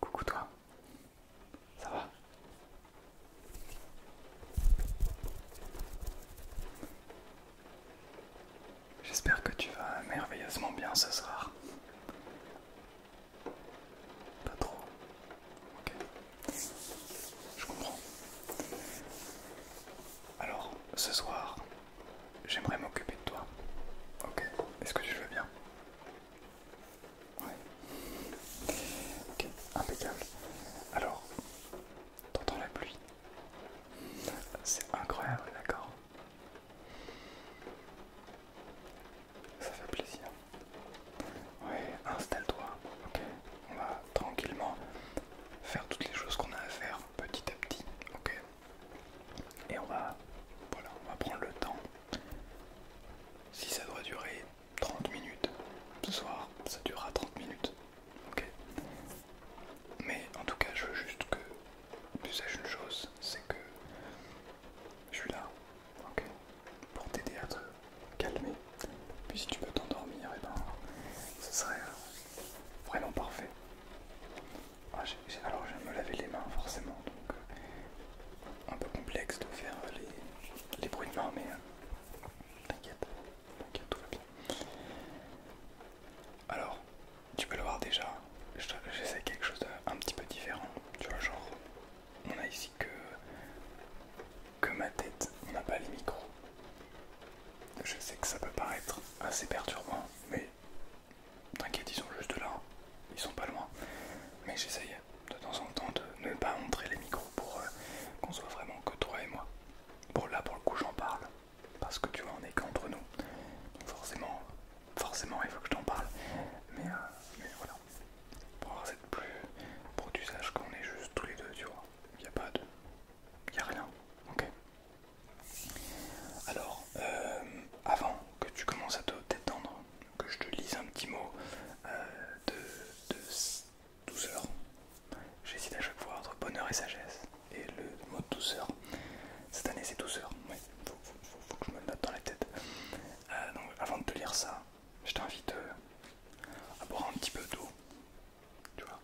Coucou toi, ça va J'espère que tu vas merveilleusement bien ce soir. Pas trop. Ok. Je comprends. Alors, ce soir, j'aimerais m'occuper de toi. Ok, est-ce que tu veux bien Oui. Ok, impeccable. Alors, t'entends la pluie C'est incroyable, d'accord Ça fait plaisir. Ouais, installe-toi, ok On va tranquillement faire toutes les choses qu'on a à faire petit à petit, ok Et on va, voilà, on va prendre le temps. Si ça doit durer 30 minutes, ce soir, ça durera 30 minutes, ok Mais en tout cas, je veux juste que tu saches une chose, c'est que je suis là, ok Pour t'aider à te calmer, puis si tu peux t'endormir, eh ben, ce serait euh, vraiment parfait. Ah, alors je vais me laver les mains forcément, donc euh, un peu complexe de faire euh, les, bruits de mains, mais t'inquiète, tout va bien. Alors, tu peux le voir déjà, j'essaie quelque chose d'un petit peu différent, tu vois, genre, on a ici que, que ma tête, on n'a pas les micros, je sais que ça peut paraître assez perturbant, mais t'inquiète, ils sont juste là, ils sont pas loin. Mais j'essaye de temps en temps de ne pas montrer les micros pour euh, qu'on soit vraiment que toi et moi. Bon, là pour le coup, j'en parle parce que tu vois, on est qu'entre nous, forcément, forcément, il faut que je t'en parle. Mais, euh, mais voilà, pour avoir cette plus, pour usage qu'on est juste tous les deux, tu vois, il n'y a pas de. Il a rien. Ok. Alors, euh, avant que tu commences à te détendre, que je te lise un petit mot euh, de, douceur. 12 J'hésite à chaque fois entre bonheur et sagesse. Et le mot de douceur, cette année c'est douceur. Oui, faut, que je me le note dans la tête. Euh, donc avant de te lire ça, je t'invite à boire un petit peu d'eau. Tu vois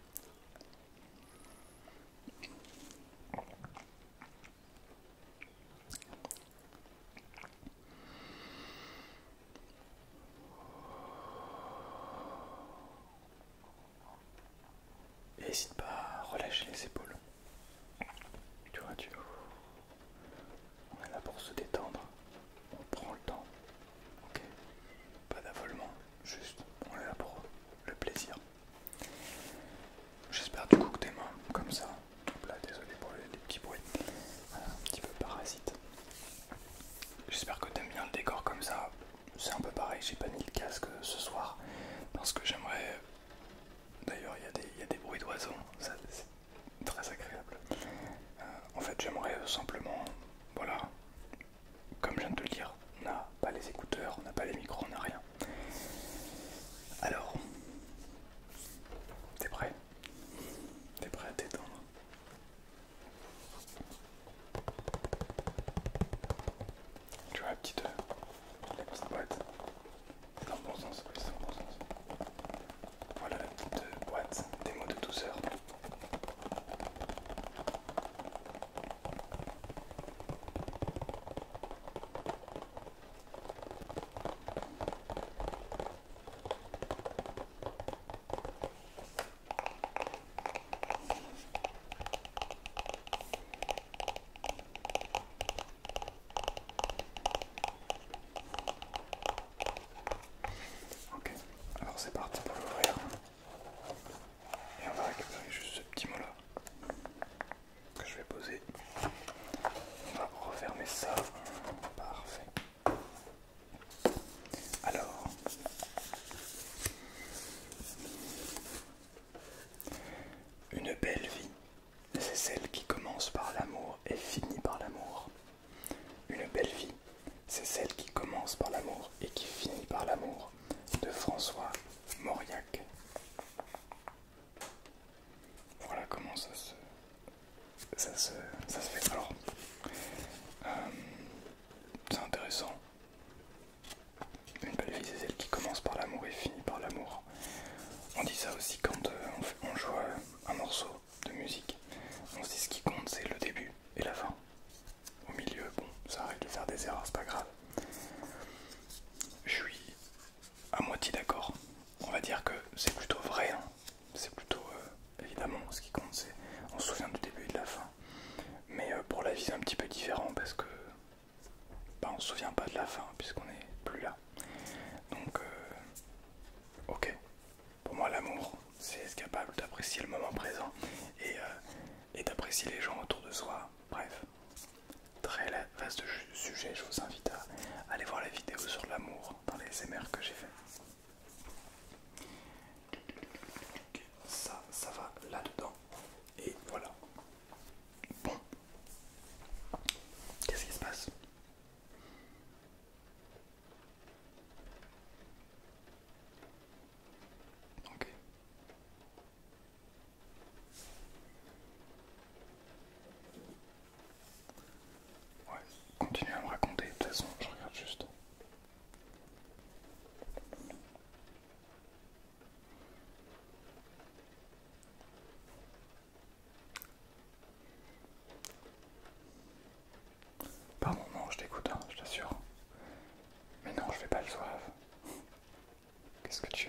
N'hésite pas à relâcher les épaules. Tu vois, tu... On est là pour se détendre. On prend le temps. Ok Pas d'avolement. Juste, on est là pour le plaisir. J'espère du coup que tes mains, comme ça, désolé pour les, petits bruits, euh, un petit peu parasite. J'espère que t'aimes bien le décor comme ça. C'est un peu pareil, j'ai pas mis le casque ce soir parce que j'aimerais. D'ailleurs, il y, y, a des bruits d'oiseaux, c'est très agréable. Euh, en fait, j'aimerais simplement, voilà, comme je viens de te le dire, on n'a pas les écouteurs, on n'a pas les micros, on n'a rien. Alors, t'es prêt T'es prêt à t'étendre Tu vois la petite, euh, la petite boîte C'est dans le bon sens, oui, c'est dans le bon sens. Voilà la petite euh, boîte des mots de douceur. Ok, alors c'est parti pour l'ouvrir. Et on va récupérer juste ce petit mot là que je vais poser. On va refermer ça. Parfait. Alors, une belle vie, c'est celle qui commence par l'amour et finit par l'amour. Une belle vie, c'est celle qui commence par l'amour et qui finit par l'amour de François Mauriac. Voilà comment ça se, fait. Alors, euh, c'est intéressant. Une belle vie, c'est celle qui commence par l'amour et finit par l'amour. On dit ça aussi quand euh, on, joue un morceau de musique. On dit ce qui compte, c'est le début et la fin. Au milieu, bon, ça arrive de faire des erreurs, c'est pas grave. Je suis à moitié d'accord. On va dire que c'est plutôt vrai. Hein. C'est plutôt, euh, évidemment, ce qui compte, c'est on se souvient du début et de la fin. Mais euh, pour la vie, c'est un petit peu différent parce que bah, on se souvient pas de la fin puisqu'on n'est plus là. Donc, euh, ok, pour moi, l'amour, c'est être capable d'apprécier le moment présent et, euh, d'apprécier les gens autour de soi. Bref, très vaste sujet. Je vous invite à aller voir la vidéo sur l'amour dans les SMR que j'ai fait. Ça, ça va là-dedans. Et voilà. Bon. Qu'est-ce qui se passe Ok. Ouais, continue à me raconter, de toute façon, je regarde juste. Par moment, je t'écoute, hein, je t'assure. Mais non, je vais pas le soif. Qu'est-ce que tu...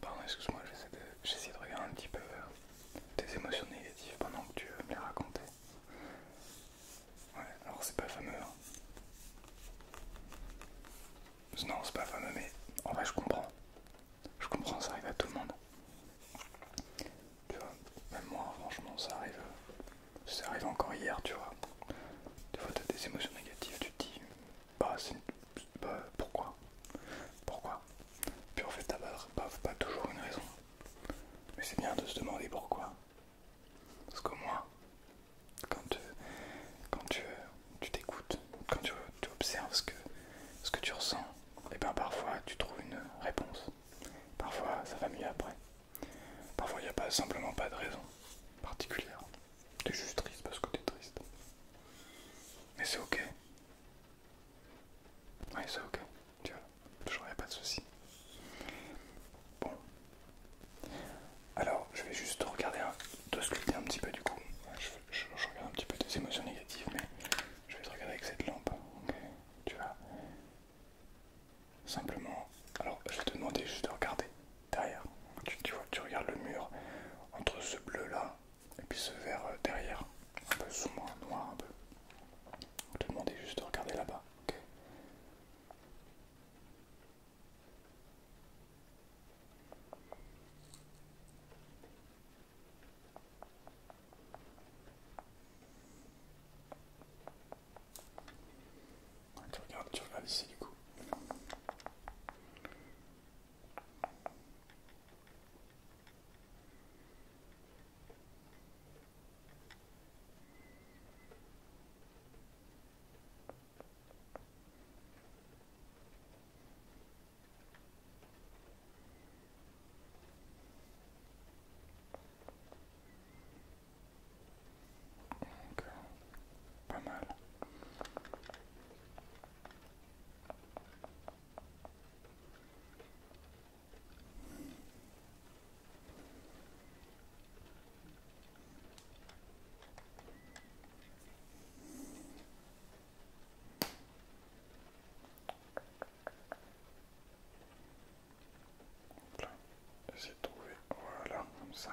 Pardon, excuse-moi, j'essaie de, regarder un petit peu tes émotions négatives pendant que tu euh, me les racontais. Ouais, alors c'est pas fameux. Hein. Non, c'est pas fameux, mais en vrai, je comprends. Je comprends, ça arrive à tout le monde. Tu vois, même moi, franchement, ça arrive. Euh, ça arrive encore hier, tu vois. Tu vois, t'as des émotions négatives, tu te dis, bah, c'est bah, pourquoi Pourquoi Puis en fait, t'as pas, pas toujours une raison. Mais c'est bien de se demander pourquoi. Parce qu'au moins, quand tu t'écoutes, quand tu, observes ce que, ce que tu ressens, et eh bien parfois tu trouves une réponse. Parfois ça va mieux après. Parfois il n'y a pas simplement pas de raison particulière. T'es juste triste parce que t'es triste. Mais c'est ok. Oui c'est ok. Tu vois, a pas de soucis. Bon. Alors, je vais juste regarder, te sculpter un petit peu du coup. Je, regarde un petit peu tes émotions négatives, mais je vais te regarder avec cette lampe. tu vois. Simplement, alors je vais te demander juste de regarder derrière. Tu, vois, tu regardes le mur entre ce bleu là et puis ce vert euh, derrière, un peu sombre, noir un peu. te juste de regarder là-bas, ok tu, regardes, tu vas ici du coup. Euh, pas mal. c'est trouvé, voilà, comme ça.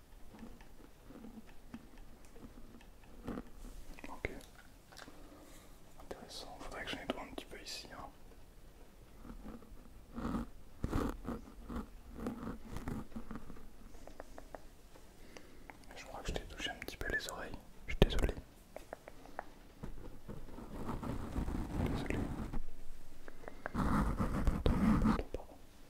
Ok. Intéressant. Faudrait que je nettoie un petit peu ici. Hein. Je crois que je t'ai touché un petit peu les oreilles. Je suis désolé. Désolé.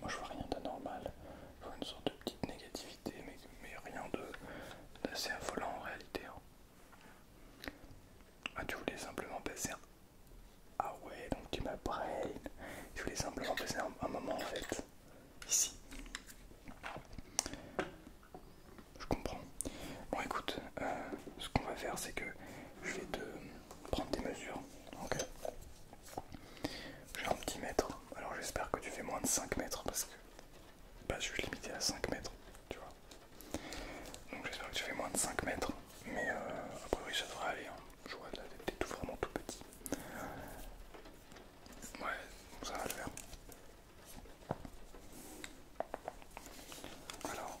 Moi je vois rien d'anormal, je vois une sorte de petite négativité, mais, rien d'assez affolant en réalité. Hein. Ah, tu voulais simplement passer un. Ah ouais, donc tu m'as Je voulais simplement passer un, moment en fait. Ici. Je comprends. Bon, écoute, euh, ce qu'on va faire, c'est que je vais te prendre des mesures. Ok. J'ai un petit mètre alors j'espère que tu fais moins de 5 mètres parce que bah, je suis limité à 5 mètres, tu vois. Donc j'espère que tu fais moins de 5 mètres. Mais euh, a ça devrait aller. Hein. Je vois là t'es tout vraiment tout petit. Ouais, ça va le faire. Alors.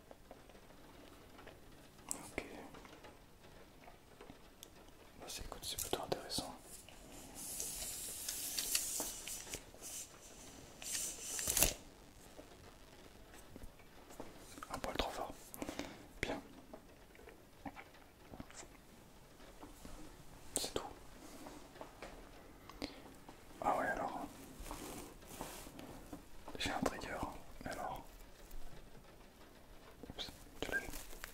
Ok. Bah, c'est plutôt intéressant. Un poil trop fort. Bien. C'est tout. Ah ouais alors. J'ai un trigger. Alors,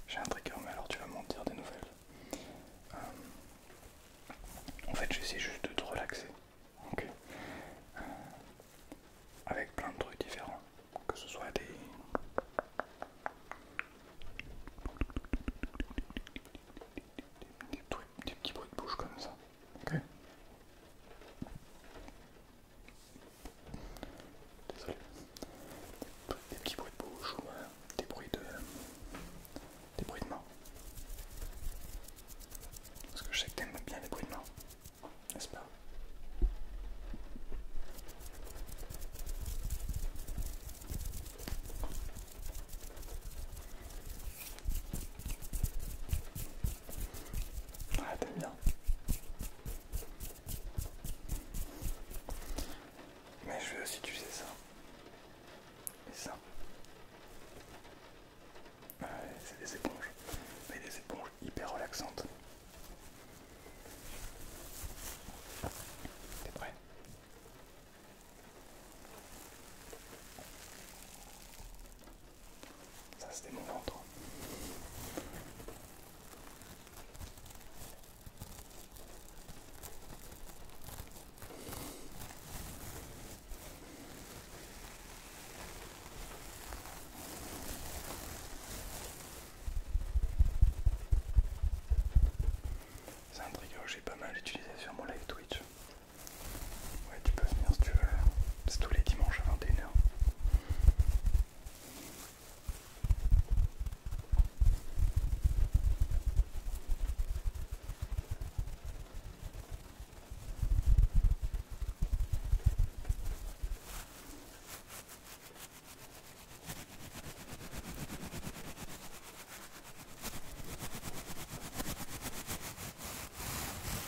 j'ai un trigger, mais alors tu vas m'en dire des nouvelles. Euh, en fait, j'essaie juste de te relaxer. Ok. Euh, avec plein de trucs différents. Que ce soit des. des petits bruits de bouche comme ça. Désolé. Des petits bruits de bouche ou euh, des bruits de. des bruits de main. Parce que je sais que t'aimes bien les bruits de main, n'est-ce pas Ah, bien. Mais je vais aussi tuer ça. Et ça. c'est des éponges. Mais des éponges hyper relaxantes. T'es prêt ça c'était mon ventre. C'est un trigger que j'ai pas mal utilisé sur mon live Twitch. Ouais, tu peux venir si tu veux. C'est tous les dimanches à 21h.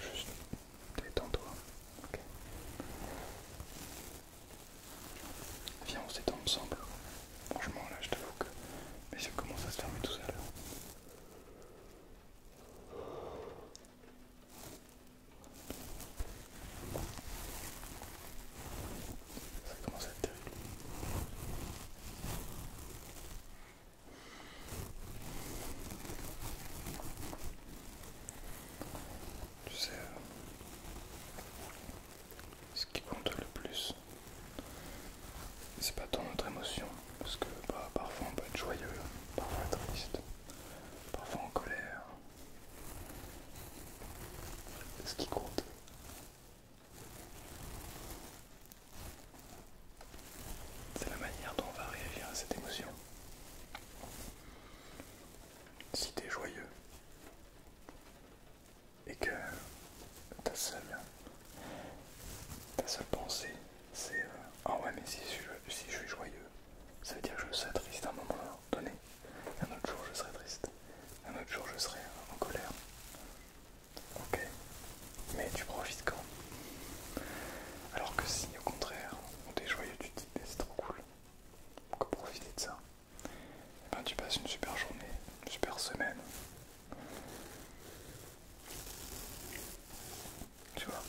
Juste détends-toi. Viens, on s'étend ensemble. Franchement, là, je te t'avoue que mais ça commence à se fermer tout seul. Ça commence à être terrible. Tu sais, euh, ce qui compte le plus. C'est pas tant notre émotion, parce que bah, parfois on peut être joyeux, parfois triste, parfois en colère. Ce qui compte. C'est la manière dont on va réagir à cette émotion. Si t'es joyeux, et que ta seule, ta seule pensée c'est euh, Ah ouais, mais si, je, suis joyeux, ça veut dire que je serai triste à un moment donné, un autre jour je serai triste, un autre jour je serai en colère. Ok, mais tu profites quand alors que si au contraire on est joyeux, tu te dis mais c'est trop cool, on profiter de ça, et eh ben, tu passes une super journée, une super semaine. Tu vois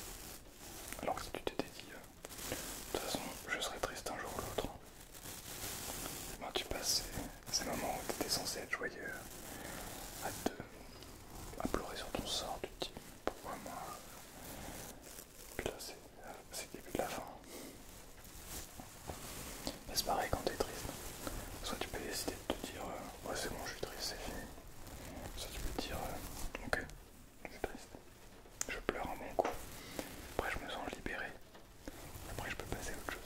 Alors que si tu t'étais dit, euh, de toute façon, je serai triste un jour ou l'autre, eh ben, tu passes ces, moments où tu étais censé être joyeux, à te à pleurer sur ton sort, tu te dis pourquoi moi puis là, c'est le début de la fin. Mais c'est pareil quand es triste. Soit tu peux décider de te dire euh, Ouais, c'est bon, je suis triste, c'est fini. Soit tu peux te dire euh, Ok, je suis triste. Je pleure à mon coup. Après, je me sens libéré. Après, je peux passer à autre chose.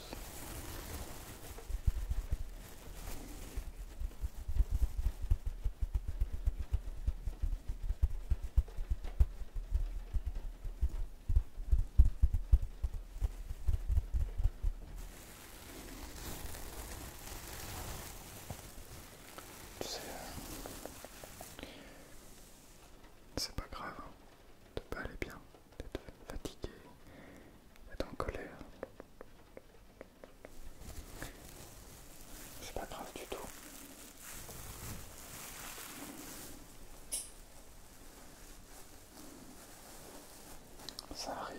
Euh, c'est pas grave de hein. pas aller bien, d'être fatigué, d'être en colère. C'est pas grave du tout. Ça arrive.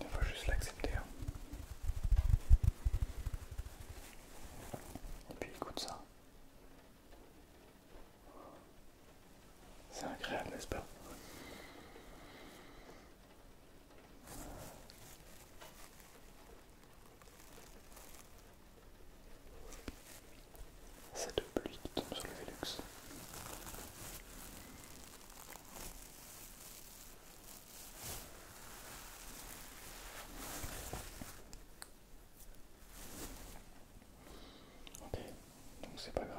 Il faut juste l'accepter. Hein. Et puis écoute ça. C'est agréable, n'est-ce pas Cette pluie tombe sur le Velux. Ok, donc c'est pas grave.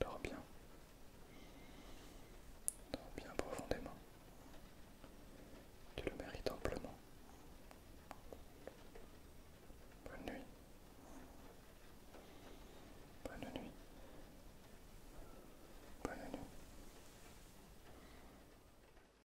Dors bien. Dors bien profondément. Tu le mérites amplement. Bonne nuit. Bonne nuit. Bonne nuit.